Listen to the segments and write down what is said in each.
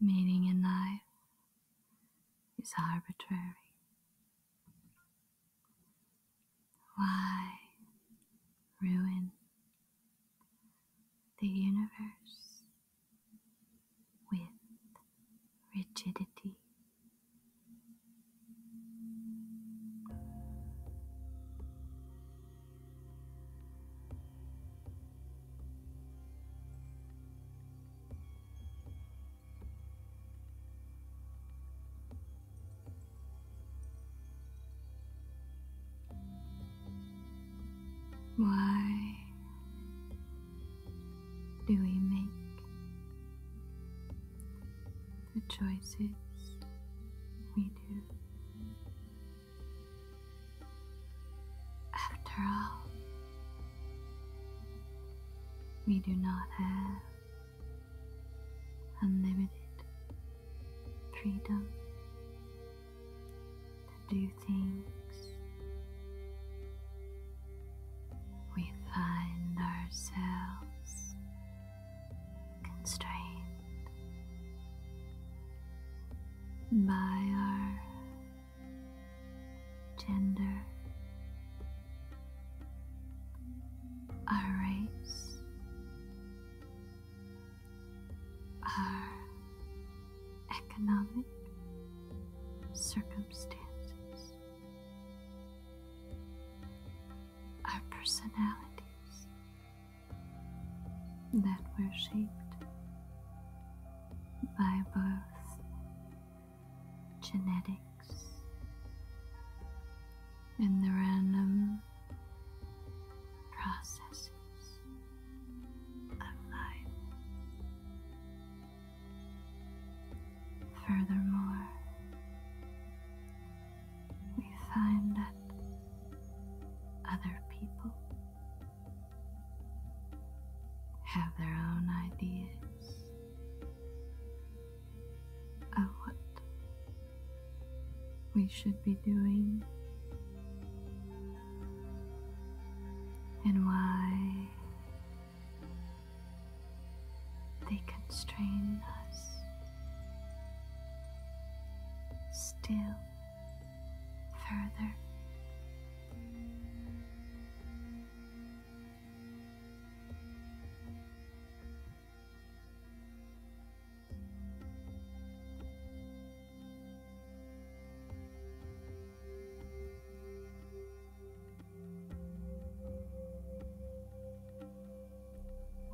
Meaning in life is arbitrary. Why ruin the universe? with rigidity. Why do we make the choices we do? After all, we do not have unlimited freedom to do things. We find ourselves constrained by our gender, our race, our economic circumstances, our personalities that were shaped by both genetics and the random processes of life. Furthermore, we find that other people have their own ideas of what we should be doing and why they constrain us still further.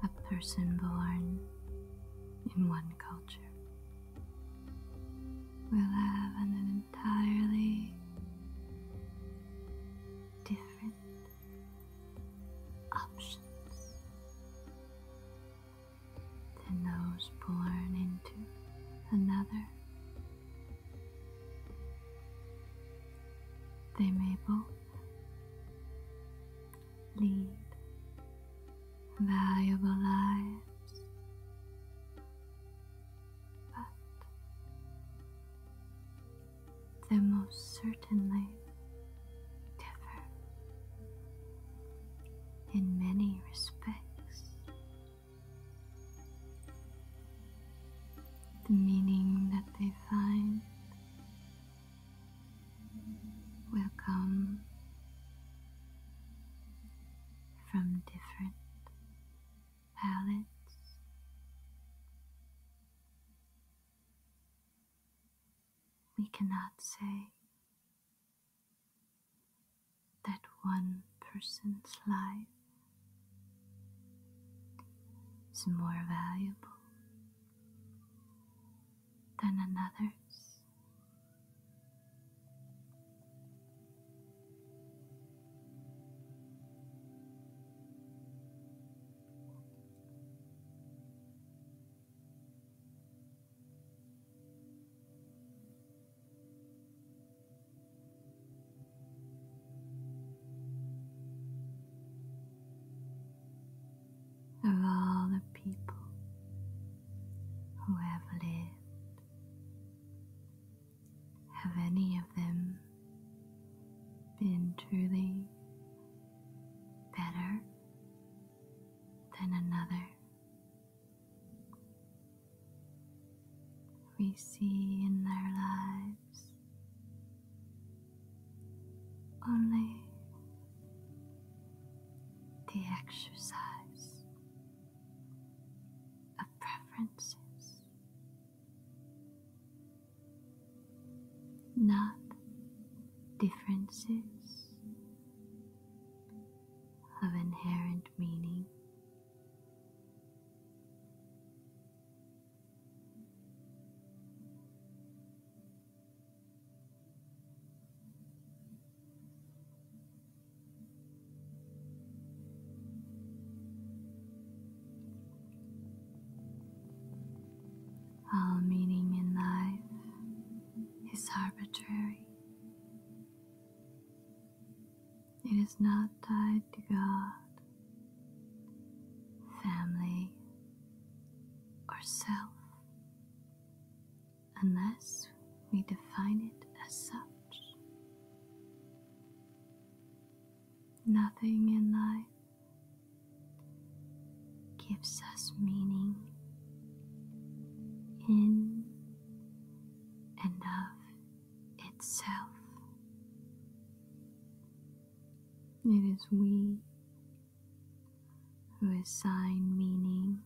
A person born in one culture will have an entirely different options than those born into another. They may both lead valuable lives, but they most certainly in many respects. The meaning that they find will come from different palettes. We cannot say that one person's life is more valuable than another's of all the people who have lived. Have any of them been truly better then another. We see in their lives only the exercise of preferences, not differences of inherent meaning. All meaning in life is arbitrary. It is not tied to God, family, or self, unless we define it as such. Nothing in life gives us meaning in and of itself. It is we who assign meaning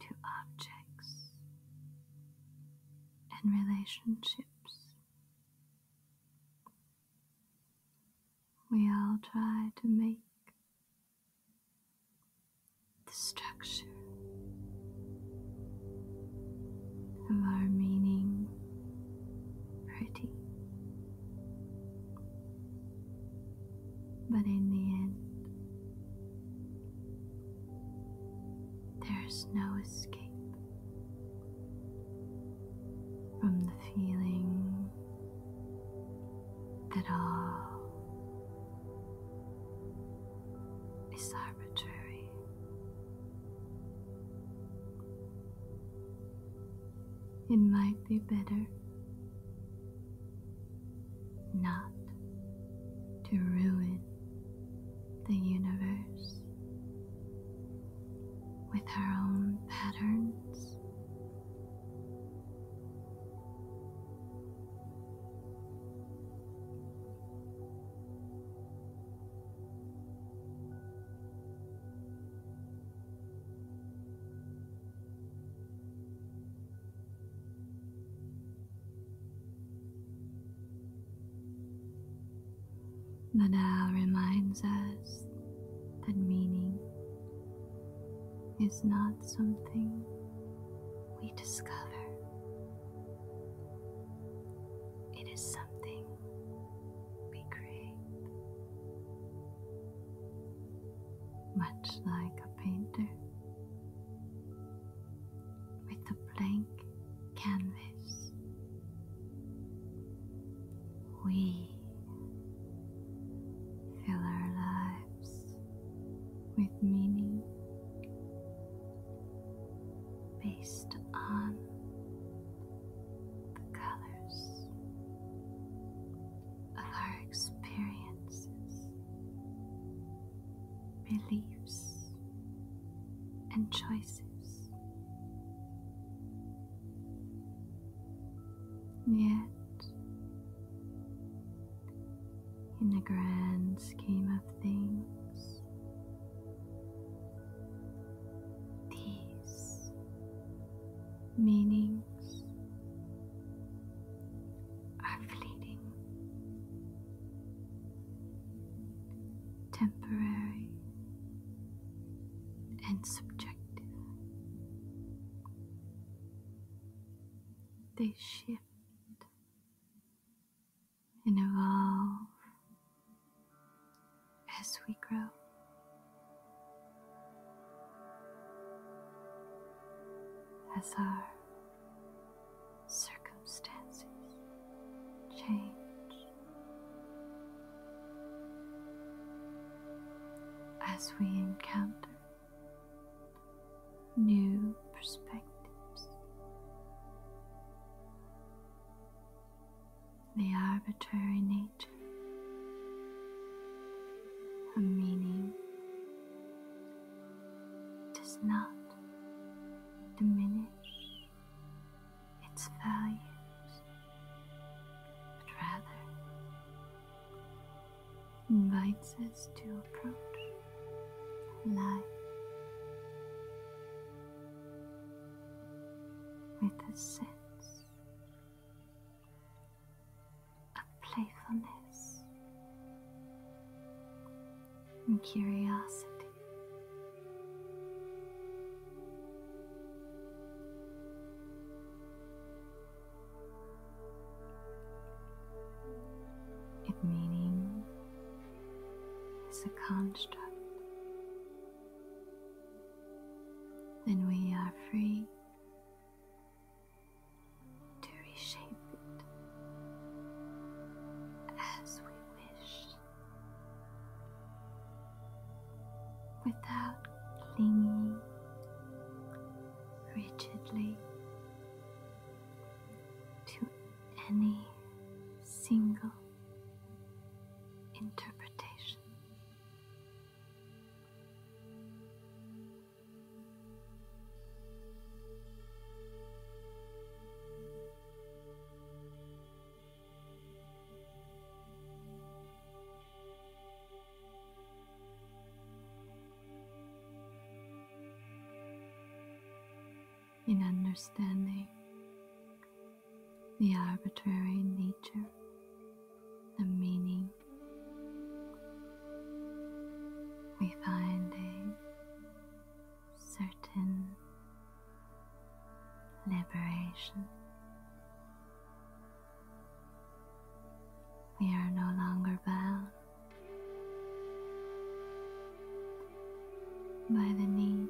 to objects and relationships we all try to make the structure of our meaning pretty. But in the end, there's no escape from the feeling that all is arbitrary. It might be better not to ruin the universe with our own patterns the now reminds us that meaning is not something we discover. It is something we create. Much like a painter with a blank canvas, we fill our lives with meaning based on the colors of our experiences, beliefs, and choices. Yet, in the grand scheme of things, these meanings are fleeting, temporary, and subjective. They shift and evolve as we grow. As our circumstances change, as we encounter new perspectives. The arbitrary nature, a meaning, does not diminish its values, but rather invites us to approach life with a sense of playfulness and curiosity. If meaning is a construct, then we are free to reshape it as we wish without clinging rigidly to any single interpretation in understanding the arbitrary nature the meaning. We find a certain liberation. We are no longer bound by the need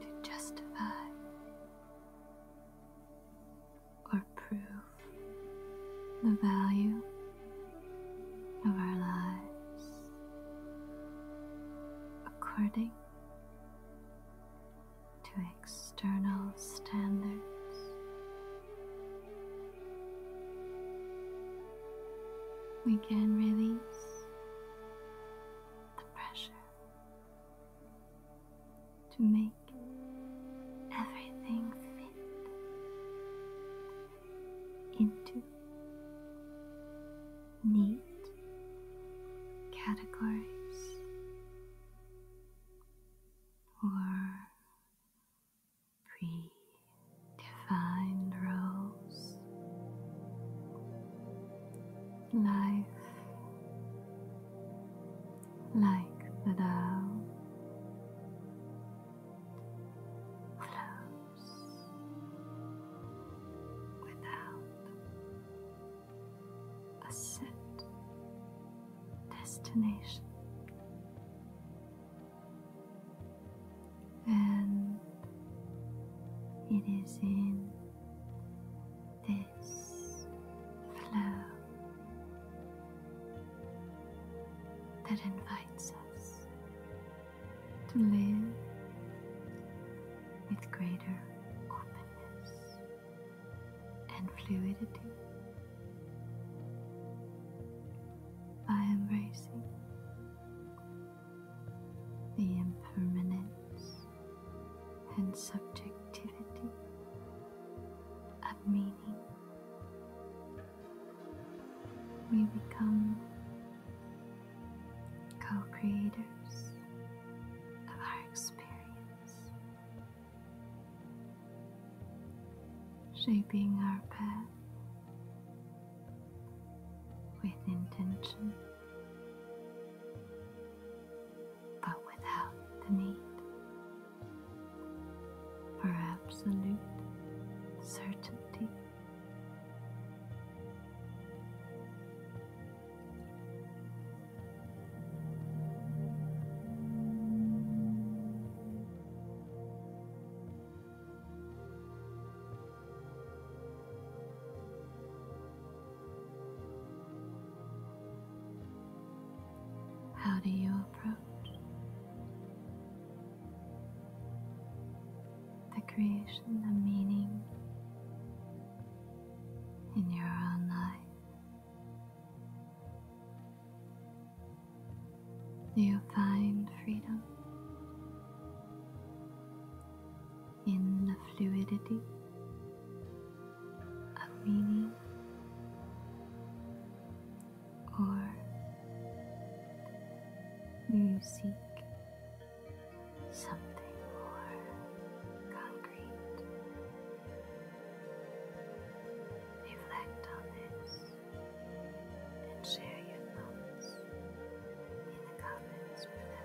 to justify or prove the value of our lives according to external standards. We can release the pressure to make everything fit into neat categories or predefined roles. Life, like the Tao, flows without a set destination. And it is in this flow that invites us to live with greater openness and fluidity by embracing the impermanence and subjectivity of meaning. We become co creators of our experience, shaping our path with intention, but without the need for absolute certainty. How do you approach? the creation the meaning in your own life. You find freedom in the fluidity of meaning or you seek something more concrete. Reflect on this and share your thoughts in the comments below.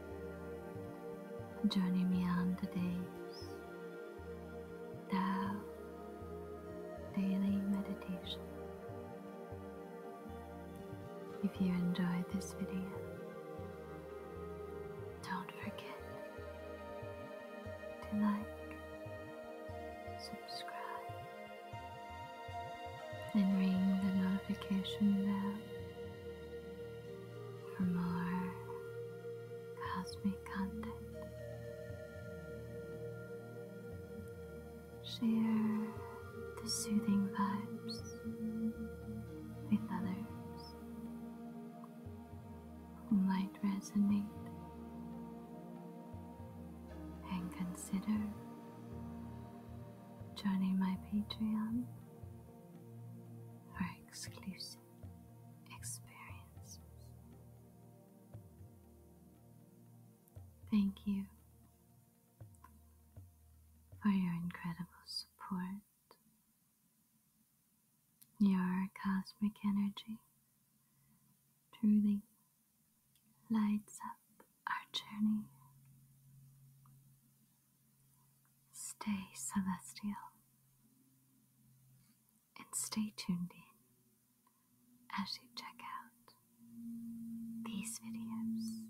Journey me on today's Tao Daily Meditation. If you enjoyed this video, don't forget to like, subscribe, and ring the notification bell for more cosmic content. Share the soothing vibes with others who might resonate and consider joining my Patreon for exclusive experiences. Thank you for your incredible support, your cosmic energy truly lights up our journey. Stay celestial and stay tuned in as you check out these videos.